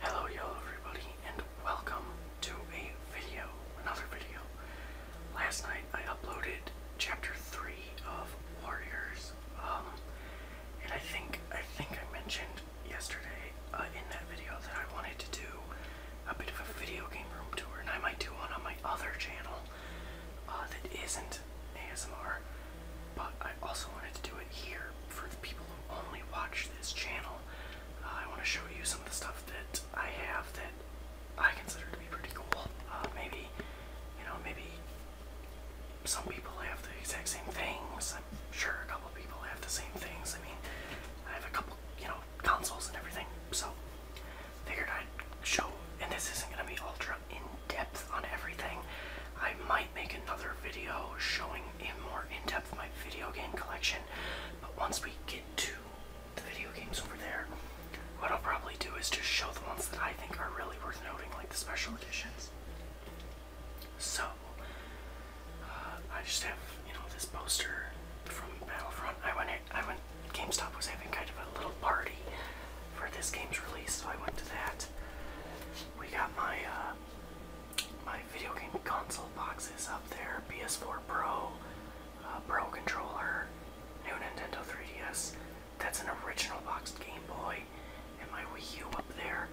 Hello, everybody, and welcome to a video, another video. Last night I uploaded chapter three of Warriors, um, and I think I think I mentioned yesterday uh, in that video that I wanted to do a bit of a video game room tour, and I might do one on my other channel uh, that isn't ASMR. But I also wanted to do it here for the people who only watch this channel. Uh, I want to show you some of the stuff that I have that I consider to be pretty cool. Uh, maybe, you know, maybe some people have the exact same things. I'm sure a couple people have the same things. I mean, I have a couple, you know, consoles and everything. So, figured I'd show, and this isn't going to be ultra in depth on everything. I might make another video showing in more in depth my video game collection. But once we get to the video games over there, what I'll probably do is just show the ones that I think are really worth noting, like the special editions. So, uh, I just have you know this poster from Battlefront. I went, I went. GameStop was having kind of a little party for this game's release, so I went to that. We got my uh, my video game console boxes up there PS4 Pro, uh, Pro Controller, new Nintendo 3DS. That's an original boxed Game Boy, and my Wii U up there.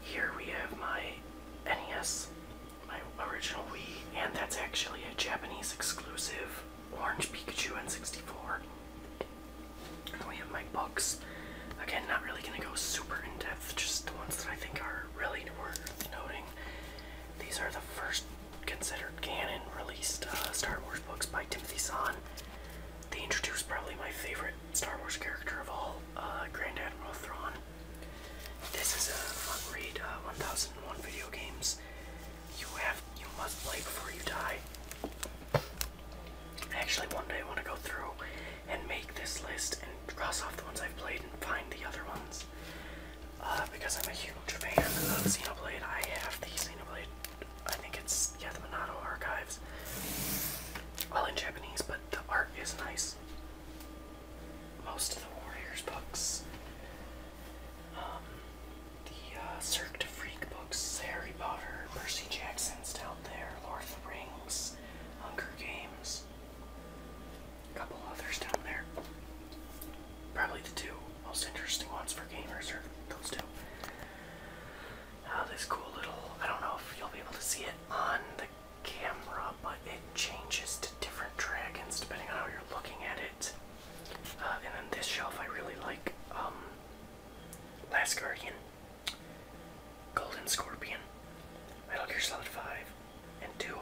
Here we have my NES, my original Wii, and that's actually a Japanese exclusive Orange Pikachu N64. And we have my books. Again, not really going to go super in depth, just the ones that I think are really worth noting. These are the first considered canon released uh, Star Wars books by Timothy Zahn. They introduced probably my favorite Star Wars character of all, uh, Grand Admiral Thrawn. This is a fun read, uh, 1001 video games you have you must play before you die. Actually, one day I want to go through and make this list and cross off the ones I've played and find the other ones. Uh, because I'm a huge fan of Xenoblade. I have the Xenoblade, I think it's, yeah, the Monado Archives. Well, in Japanese, but the art is nice. Most of the Warriors books, um, the uh, de Freak books, Harry Potter, Percy Jackson's down there, Lord of the Rings. Hunger Games, a couple others down there. Probably the two most interesting ones for gamers are those two. Ah, this cool little, I don't know if you'll be able to see it on the camera, but it changes to different dragons depending on how you're looking at it. Uh, and then this shelf I really like, um, Last Guardian. Golden Scorpion, Metal Gear Solid 5, and two,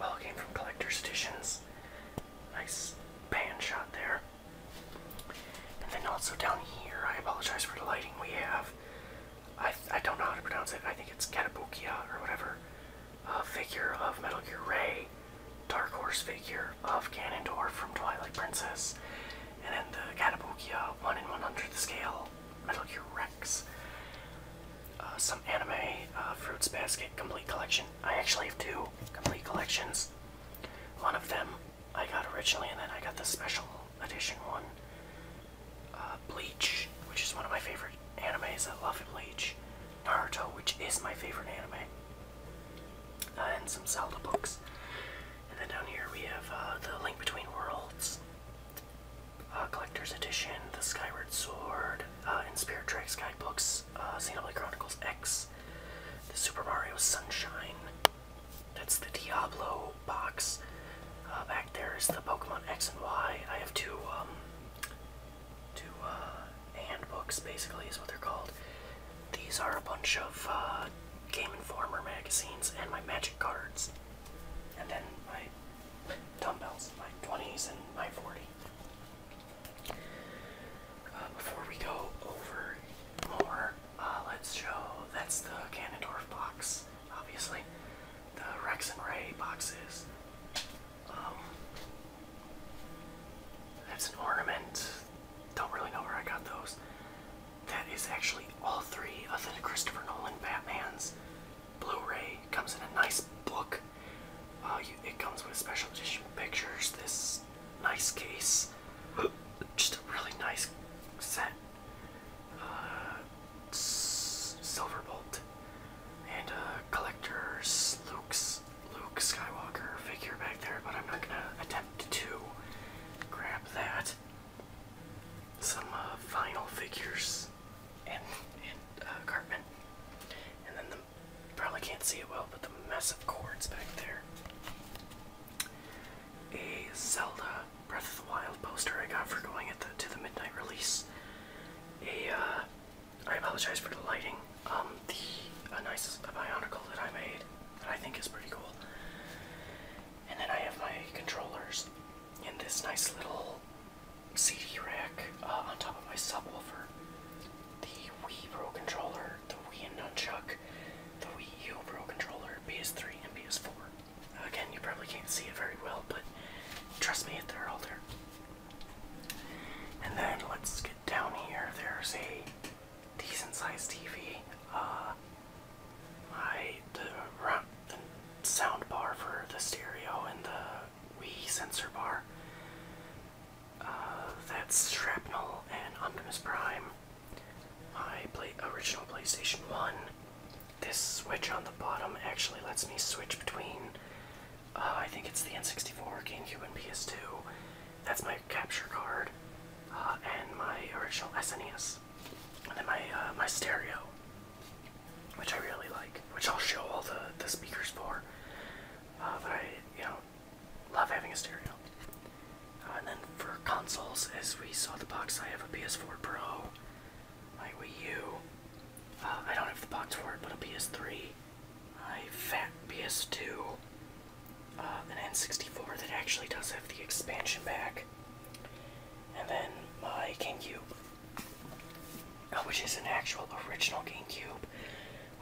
all came from collector's editions. Nice pan shot there. And then also down here, I apologize for the lighting we have. I, I don't know how to pronounce it. I think it's Katabukia or whatever. A figure of Metal Gear Ray, Dark Horse figure of Ganondorf from Twilight Princess, and then the Katabukia 1 in 100 scale Metal Gear Rex. Uh, some anime uh, Fruits Basket Complete Collection. I actually have two complete collections. One of them I got originally, and then I got the special edition one. Uh, Bleach, which is one of my favorite animes. I love Bleach. Naruto, which is my favorite anime. and some Zelda books. And then down here we have uh, the Link Between Worlds uh, Collector's Edition, the Skyward Sword, uh, and Spirit Tracks Guidebooks, uh, Xenoblade Chronicles X, the Super Mario Sunshine. That's the Diablo box. back there is the Pokemon X and Y. I have two, um, two handbooks, basically, is what they're called. These are a bunch of Game Informer magazines and my magic cards. And then my dumbbells, my 20s and my 40. Uh, before we go over more, uh, let's show that's the Ganondorf box, obviously. The Rex and Ray boxes. Um, that's an ornament. Don't really know where I got those. That is actually all three of the Christopher Nolan Batman's Blu-ray. Comes in a nice book. Uh, it comes with special edition pictures. This nice case, just a really nice set. Uh, Silverbolt and a uh, collector's Luke Skywalker figure back there, but I'm not gonna attempt to grab that some uh, vinyl figures and, and uh, Cartman. And then the, probably can't see it well, but the mess of cords back there. A Zelda Breath of the Wild poster I got for going at the, to the midnight release. A uh, I apologize for the lighting. Um, the a nice a bionicle that I made that I think is pretty cool. And then I have my controllers in this nice little CD rack uh, on top of my subwoofer. The Wii Pro controller, the Wii and Nunchuck, the Wii U Pro controller, PS3 and PS4. Again, you probably can't see it very well, but trust me, they're all there. And then let's get down here. There's a decent sized TV. Uh, I the the sound bar for the stereo and the Wii sensor bar. Uh, that's Shrapnel and Optimus Prime. My original PlayStation 1. This switch on the bottom actually lets me switch between. Uh, I think it's the N64, GameCube, and PS2. That's my capture card, uh, and my original SNES and then my uh, my stereo, which I really like, which I'll show all the the speakers for. Uh, I you know love having a stereo. Uh, and then for consoles, as we saw the box, I have a PS4 Pro, my Wii U. I don't have the box for it, but a PS3, my fat PS2, an N64 that actually does have the expansion pack, and then my GameCube, uh, which is an actual original GameCube,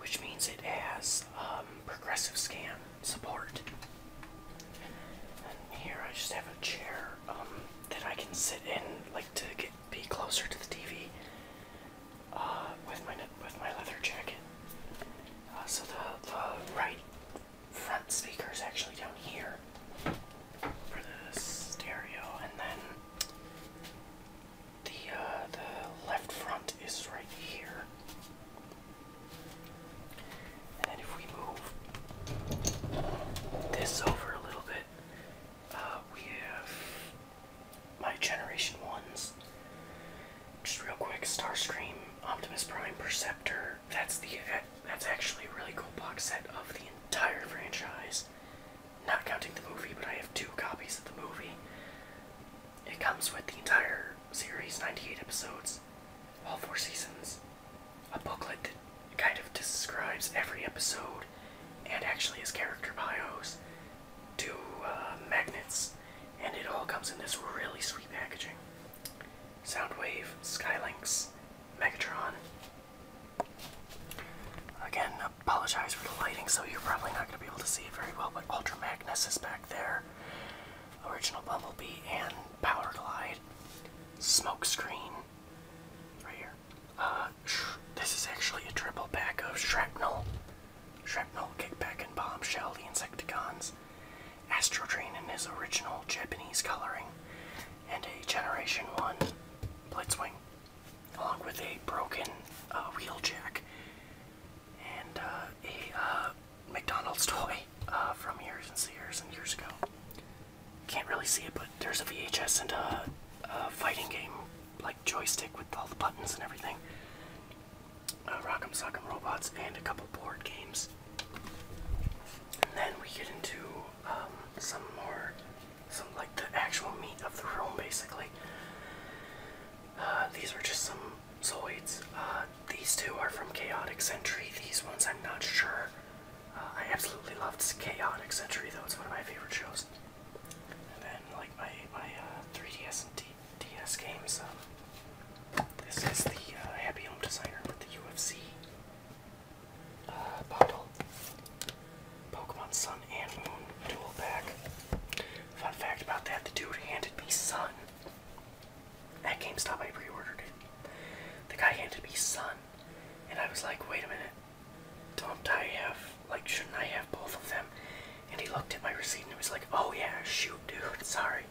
which means it has um, progressive scan support. And here I just have a chair um, that I can sit in, like to get be closer to the TV uh, with my with my leather jacket. Uh, so the the right front speakers actually down here for the stereo, and then the uh, the left front is right here. And then if we move this over a little bit, uh, we have my Generation 1s. Just real quick Starscream, Optimus Prime, Perceptor, that's the that's actually a really cool box set of the entire franchise. Not counting the movie, but I have two copies of the movie. It comes with the entire series, 98 episodes, all four seasons. A booklet that kind of describes every episode and actually his character bios, two uh, magnets, and it all comes in this really sweet packaging. Soundwave, Skylinks, Megatron. Again, apologize for the lighting, so you're probably not going to be able to see it very well, but Ultra Magnus is back there. Original Bumblebee and Power Glide. Smokescreen. Right here. Uh, this is actually a triple pack of Shrapnel. Shrapnel, Kickback, and Bombshell, the Insecticons. X, Astro Train in his original Japanese coloring, and a Generation 1 Blitzwing, along with a broken uh, wheel jack, and uh, a uh, McDonald's toy from years and years and years ago. Can't really see it, but there's a VHS and a, fighting game, like joystick with all the buttons and everything. Uh, Rock'em Sock'em Robots and a couple board games. And then we get into um, some more, some like the actual meat of the room, basically. Uh, these are just some Zoids. Uh, these two are from Chaotic Century. These ones I'm not sure. Uh, I absolutely loved Chaotic Century though. It's one of my favorite shows. And then like my my 3DS and D DS games. Um, this is the Happy Home Designer with the UFC uh, bundle. Pokemon Sun and Moon dual pack. Fun fact about that, the dude handed me Sun. At GameStop, I pre-ordered it. The guy handed me Sun, and I was like, wait a minute, don't I have, like, shouldn't I have both of them? And he looked at my receipt and was like, oh yeah, shoot, dude, sorry.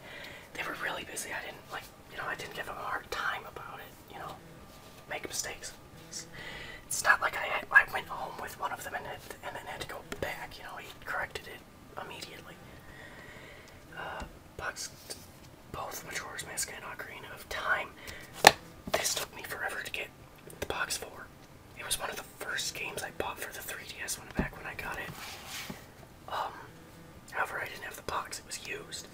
They were really busy, I didn't, like, you know, I didn't give him a hard time about it, you know, make mistakes. It's, not like I, I went home with one of them and, and then had to go back, you know, he corrected it immediately. Uh, Bugs, both Majora's Mask and Ocarina of Time, this took me forever to get the box for. It was one of the first games I bought for the 3DS when, back when I got it. Um, however, I didn't have the box, it was used.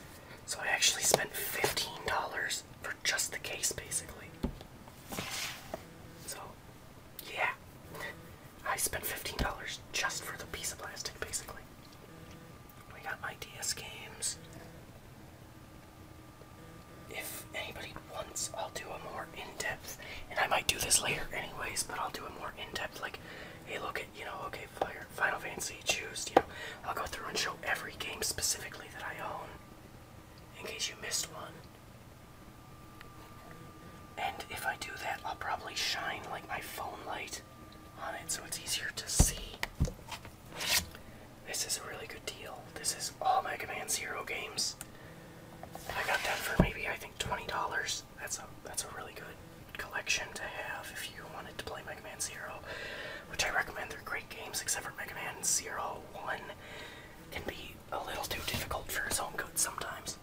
So I actually spent $15 for just the case, basically. So, yeah. I spent $15 just for the piece of plastic, basically. We got my games. If anybody wants, I'll do a more in depth, and I might do this later, anyways, but I'll do a more in depth, like, hey, look at, you know, okay, Fire, Final Fantasy, choose, you know, I'll go through and show every game specifically that I own in case you missed one. And if I do that, I'll probably shine like my phone light on it so it's easier to see. This is a really good deal. This is all Mega Man Zero games. I got that for maybe, I think, $20. That's a that's a really good collection to have if you wanted to play Mega Man Zero, which I recommend. They're great games, except for Mega Man Zero One can be a little too difficult for his own good sometimes.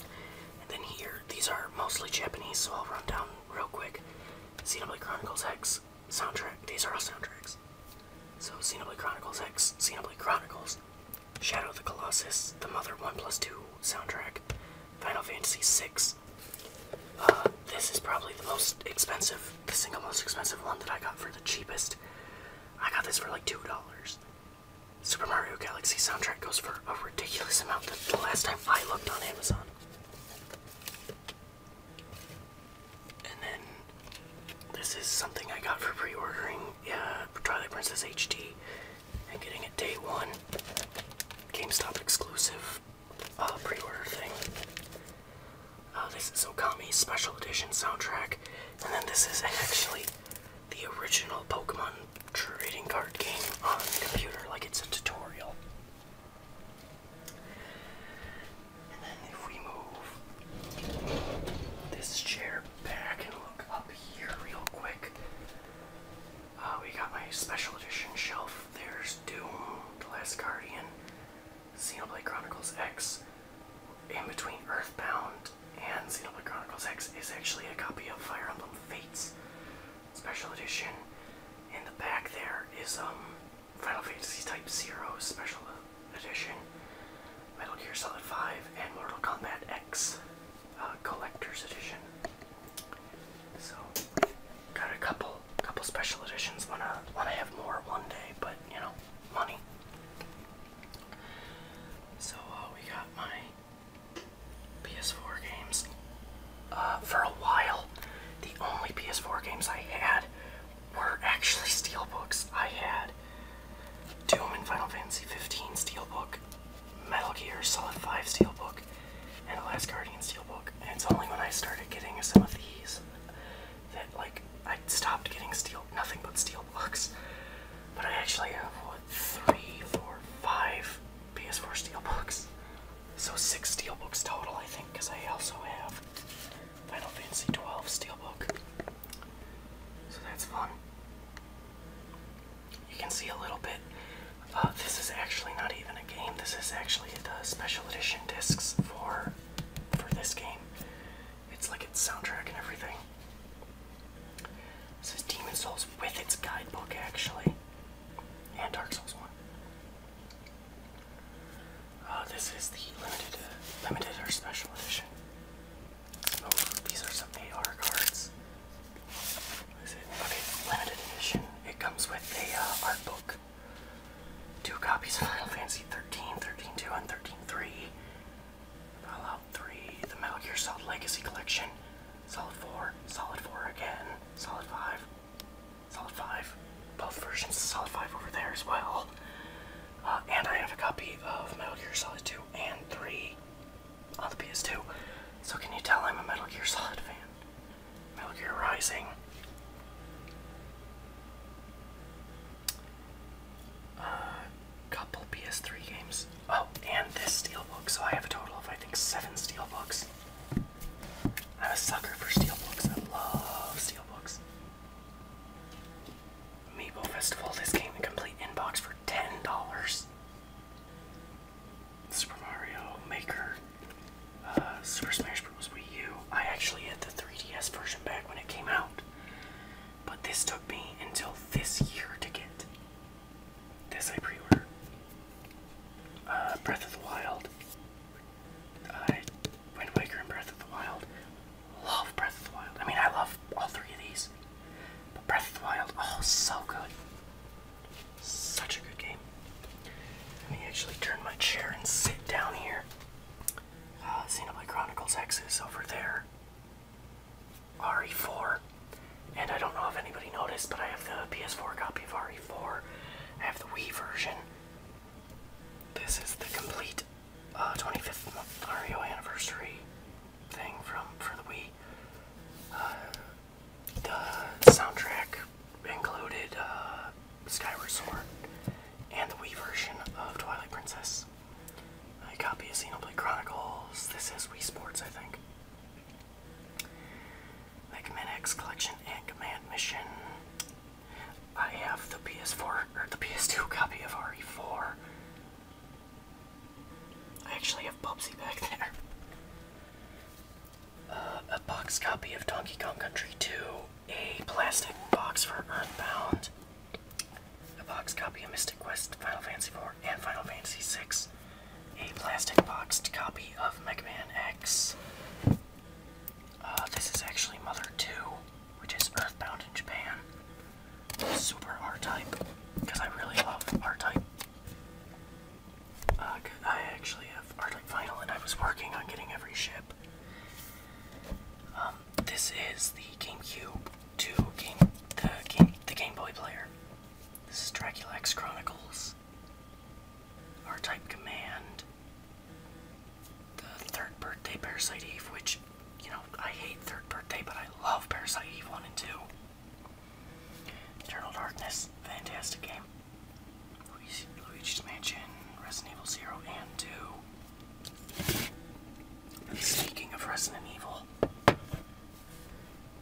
And then here, these are mostly Japanese, so I'll run down real quick. Xenoblade Chronicles X soundtrack. These are all soundtracks. So Xenoblade Chronicles X, Xenoblade Chronicles, Shadow of the Colossus, the Mother One Plus Two soundtrack, Final Fantasy VI. Uh, this is probably the most expensive, the single most expensive one that I got for the cheapest. I got this for like $2. Super Mario Galaxy soundtrack goes for a ridiculous amount the last time I looked on Amazon. And then this is something I got for pre-ordering, yeah, uh, Twilight Princess HD and getting a day one GameStop exclusive uh, pre-order thing. Uh, this is Okami's special edition soundtrack, and then this is actually the original Pokemon trading card game on the computer, like it's a tutorial. And then if we move this chair back and look up here real quick, uh, we got my special edition shelf. There's Doom, The Last Guardian, Xenoblade Chronicles X. In between Earthbound and Xenoblade Chronicles X is actually a copy of Fire Emblem Fates Special Edition. In the back there is um, Final Fantasy Type Zero Special Edition, Metal Gear Solid V, and Mortal Kombat X. Uh, collector's edition. So got a couple, couple special editions. Wanna, wanna have more one day, but you know, money. So uh, we got my PS4 games. Uh, for a while, the only PS4 games I had were actually steelbooks. I had Doom and Final Fantasy 15 steelbook, Metal Gear Solid 5 steelbook, and the last Guardian Steel book. And it's only when I started getting some of these that like I stopped getting steel nothing but steel books. But I actually have what three, four, five PS4 steel books. So six steel books total I think because I also have Final Fantasy 12 Steelbook. So that's fun. You can see a little bit. Uh, this is actually not even a game. This is actually the special edition discs for for this game. It's like its soundtrack and everything. This is Demon Souls with its guidebook, actually, and Dark Souls One. Uh, this is the limited, limited or special edition. Oh, these are some AR cards it? Okay, limited edition. It comes with a uh, art book. Two copies of Final Fantasy 13, 13-2, and 13-3. Fallout 3, the Metal Gear Solid Legacy Collection, Solid 4, Solid 4 again, Solid 5, Solid 5, both versions of Solid 5 over there as well. Uh, and I have a copy of Metal Gear Solid 2 and 3 on the PS2. So can you tell I'm a Metal Gear Solid fan? Metal Gear Rising. uh, couple PS3 games. Oh, and this steelbook. So I have a total of I think seven steelbooks. I'm a sucker for steelbooks. I love steelbooks. Amiibo Festival. This came in a complete inbox for ten dollars. Super Mario Maker, uh, Super Smash Bros. Wii U. I actually had the 3DS version back when it came out, but this took me until this year to get. This I pre-ordered. Uh, Breath of the Wild. Wind Waker and Breath of the Wild. Love Breath of the Wild. I mean, I love all three of these, but Breath of the Wild, oh, so good. Such a good game. Let me actually turn my chair and sit down here. Uh, Xenoblade Chronicles X is over there. RE4. And I don't know if anybody noticed, but I have the PS4 copy of RE4. I have the Wii version. This is the complete uh, 25th Mario anniversary thing from for the Wii. Uh, the soundtrack included uh, Sky Resort and the Wii version of Twilight Princess. A copy of Xenoblade Chronicles. This is Wii Sports, I think. The Command X Collection and Command Mission. I have the PS4 or the PS2 copy of RE4. I actually have Bubsy back there. Uh, a box copy of Donkey Kong Country 2, a plastic box for Earthbound, a box copy of Mystic Quest, Final Fantasy IV, and Final Fantasy VI, a plastic boxed copy of Mega Man X. Uh, this is actually Mother 2, which is Earthbound in Japan. Super R-Type, because I really love R-Type. Uh, I actually have Arctic Final, and I was working on getting every ship. Um, this is the GameCube two game the game the Game Boy player. This is Dracula's Chronicles. R-Type Command. The Third Birthday Parasite Eve, which you know I hate Third Birthday, but I love Parasite Eve one and two. Eternal Darkness, fantastic game. Luigi's Mansion, Resident Evil 0 and 2. Speaking of Resident Evil,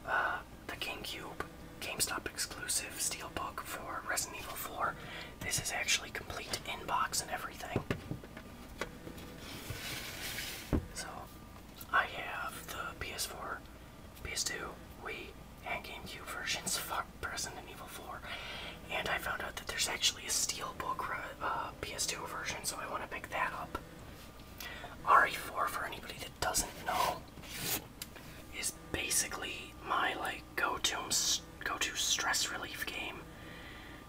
uh, the GameCube GameStop exclusive steelbook for Resident Evil 4. This is actually complete inbox and everything. So, I have the PS4 PS2, Wii, and GameCube versions of Resident Evil 4. And I found out that there's actually a Steelbook uh, PS2 version, so I want to pick that up. RE4, for anybody that doesn't know, is basically my like go-to go-to stress relief game.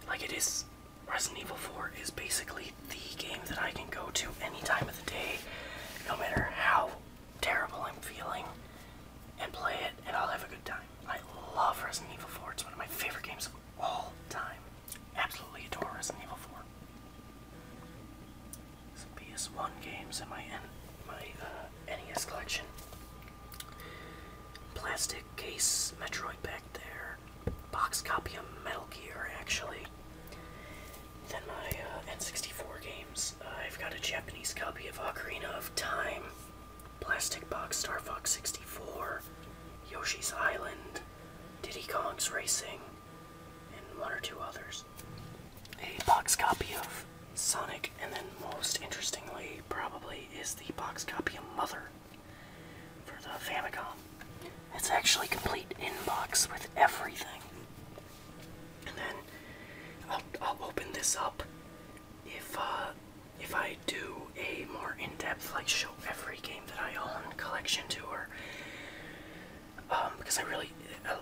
Like it is, Resident Evil 4 is basically the game that I can go to any time of the day, no matter how terrible I'm feeling and play it and I'll have a good time. I love Resident Evil 4. It's one of my favorite games of all time. Absolutely adore Resident Evil 4. Some PS1 games in my, my uh, NES collection. Plastic case Metroid back there. Box copy of Metal Gear, actually. Then my uh, N64 games. Uh, I've got a Japanese copy of Ocarina of Time, Plastic Box Star Fox 64, Yoshi's Island, Diddy Kong's Racing, and one or two others. A box copy of Sonic, and then most interestingly, probably, is the box copy of Mother for the Famicom. It's actually complete in box with everything and then I'll, I'll open this up if uh, if I do a more in-depth like show every game that I own collection tour um, because I really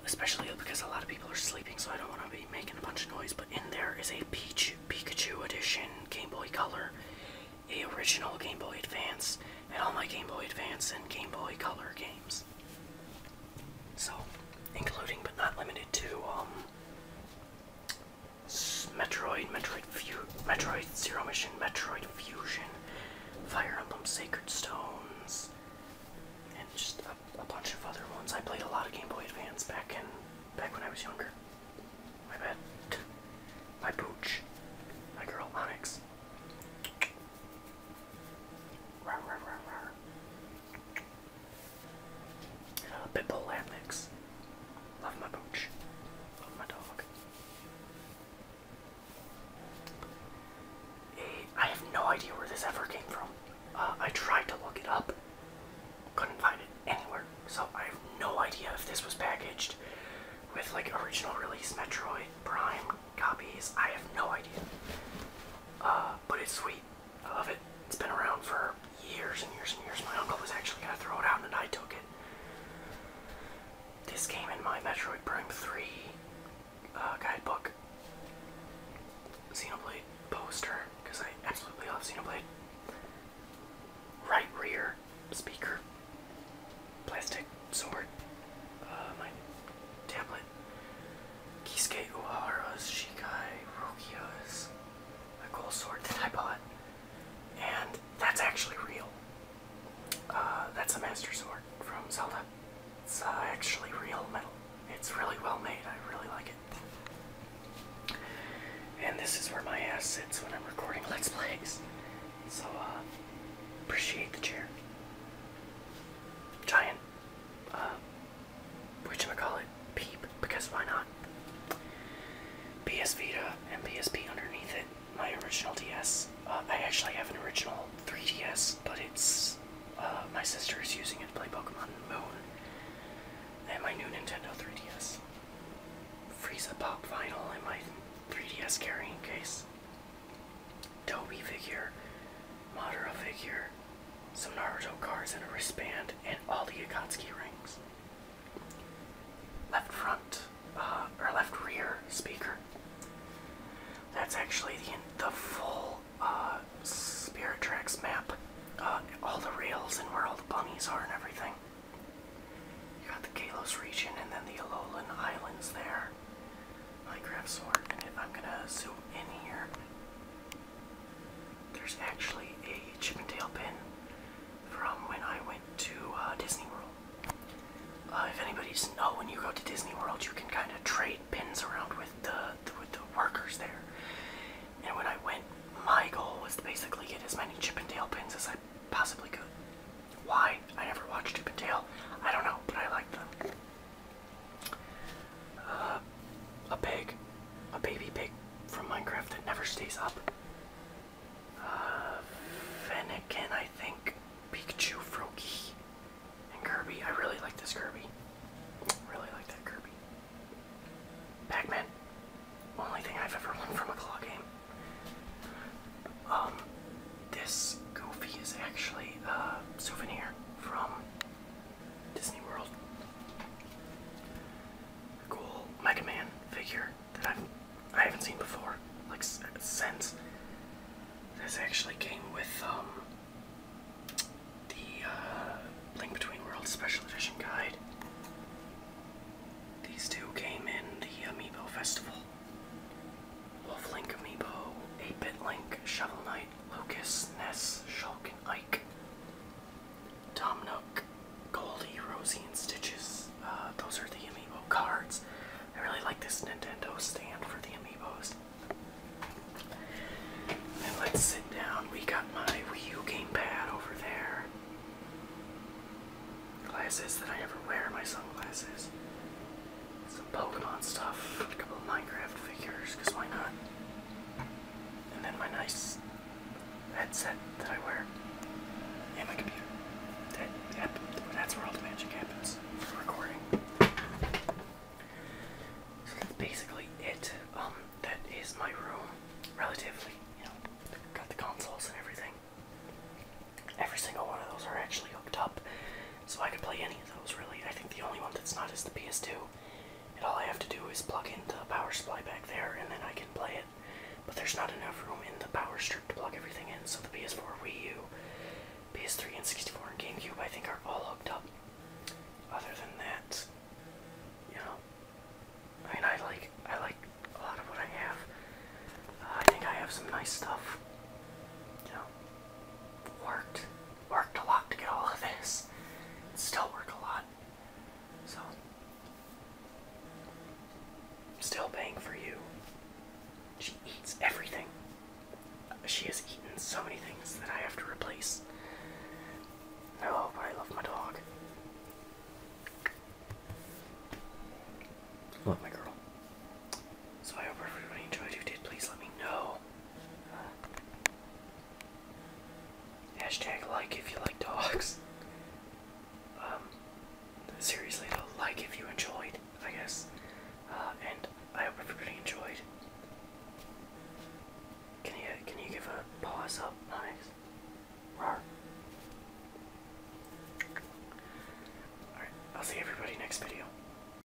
especially because a lot of people are sleeping so I don't want to be making a bunch of noise but in there is a Peach Pikachu edition Game Boy Color a original Game Boy Advance and all my Game Boy Advance and Game Boy Color games so, including but not limited to um, Metroid, Metroid, Fu Metroid Zero Mission, Metroid Fusion, Fire Emblem Sacred Stones, and just a, a bunch of other ones. I played a lot of Game Boy Advance back in back when I was younger. My bad. My pooch. My girl Onyx. Rawr, rawr, rawr, rawr. Mix. Love my pooch. Love my dog. Eh, I have no idea where this ever came from. Uh, I tried to look it up, couldn't find it anywhere. So I have no idea if this was packaged with like original release Metroid Prime copies. I have no idea uh, but it's sweet. I love it. It's been around for years and years and years. My uncle was actually gonna throw it out, and I took it. This came in my Metroid Prime 3 uh, guidebook. Xenoblade poster, because I absolutely love Xenoblade. Right rear speaker, plastic sword, uh, my tablet, Kisuke Uehara's Shikai Rokyo's, a gold sword that I bought, and that's actually real. Uh, that's a master sword from Zelda. It's uh, actually real metal. It's really well made. I really like it. And this is where my ass sits when I'm recording Let's Plays. So, uh, appreciate the chair. Giant uh, which I call it Peep because why not? PS Vita and PSP underneath it. My original DS. Uh, I actually have an original 3DS, but it's uh, my sister is using it to play Pokemon Moon. And my new Nintendo 3DS. Frieza pop vinyl in my 3DS carrying case. Toby figure, Madara figure, some Naruto cards and a wristband, and all the Akatsuki rings. Left front, uh, or left rear speaker. That's actually the, the full uh, Spirit Tracks map. Uh, all the rails and where all the bunnies are and everything. You got the Kalos region and then the Alolan Islands there my craft sword, and if I'm gonna zoom in here, there's actually a Chip and Dale pin from when I went to uh, Disney World. Uh, if anybody's know, when you go to Disney World, you can kind of trade pins around with the, the with the workers there. And when I went, my goal was to basically get as many Chip and Dale pins as I possibly could. Why? I never watched Chip and Dale. I don't know, but I like them. Uh, a pig, a baby pig from Minecraft that never stays up. Uh, I think. Pikachu, Froakie, and Kirby. I really like this Kirby. Really like that Kirby. Pac-Man. Only thing I've ever won from a claw game. Um, this Goofy is actually a souvenir from Disney World. cool Mega Man figure that I've I haven't seen before, like since. This actually came with um, the uh, Link Between Worlds Special Edition guide. These two came in the Amiibo Festival. Wolf Link Amiibo, 8-Bit Link, Shovel Knight, Wright, Lucas, Ness, Shulk, and Ike. Tom Nook, Goldie, Rosie, and Stitches. Uh, those are the amiibo cards. I really like this Nintendo stand for the amiibos. let's sit down. We got my Wii U gamepad over there. Glasses that I ever wear, my sunglasses some Pokemon stuff, a couple of Minecraft figures, because why not? And then my nice headset that I wear, and my computer. That, that's where all the magic happens for recording. So that's basically it. Um, that is my room, relatively. You know, got the consoles and everything. Every single one of those are actually hooked up. So I could play any of those really. I think the only one that's not is the PS2. And all I have to do is plug in the power supply back there and then I can play it. But there's not enough room in the power strip to plug everything in, so the PS4, Wii U, PS3 and 64 and GameCube I think are all hooked up. Other than that, you know. I mean I like I like a lot of what I have. Uh, I think I have some nice stuff. You worked worked a lot to get all of this. And still work a lot. So still paying for you. She eats everything. She has eaten so many things that I have to replace. No, but I love my dog. Love my girl. So I hope everybody enjoyed. If you did, please let me know. Hashtag like if you like dogs. Um, seriously though, like if you enjoyed, I guess. Uh, and I hope everybody enjoyed. Can you can you give a pause up, Onyx? Rawr. Alright, I'll see everybody next video.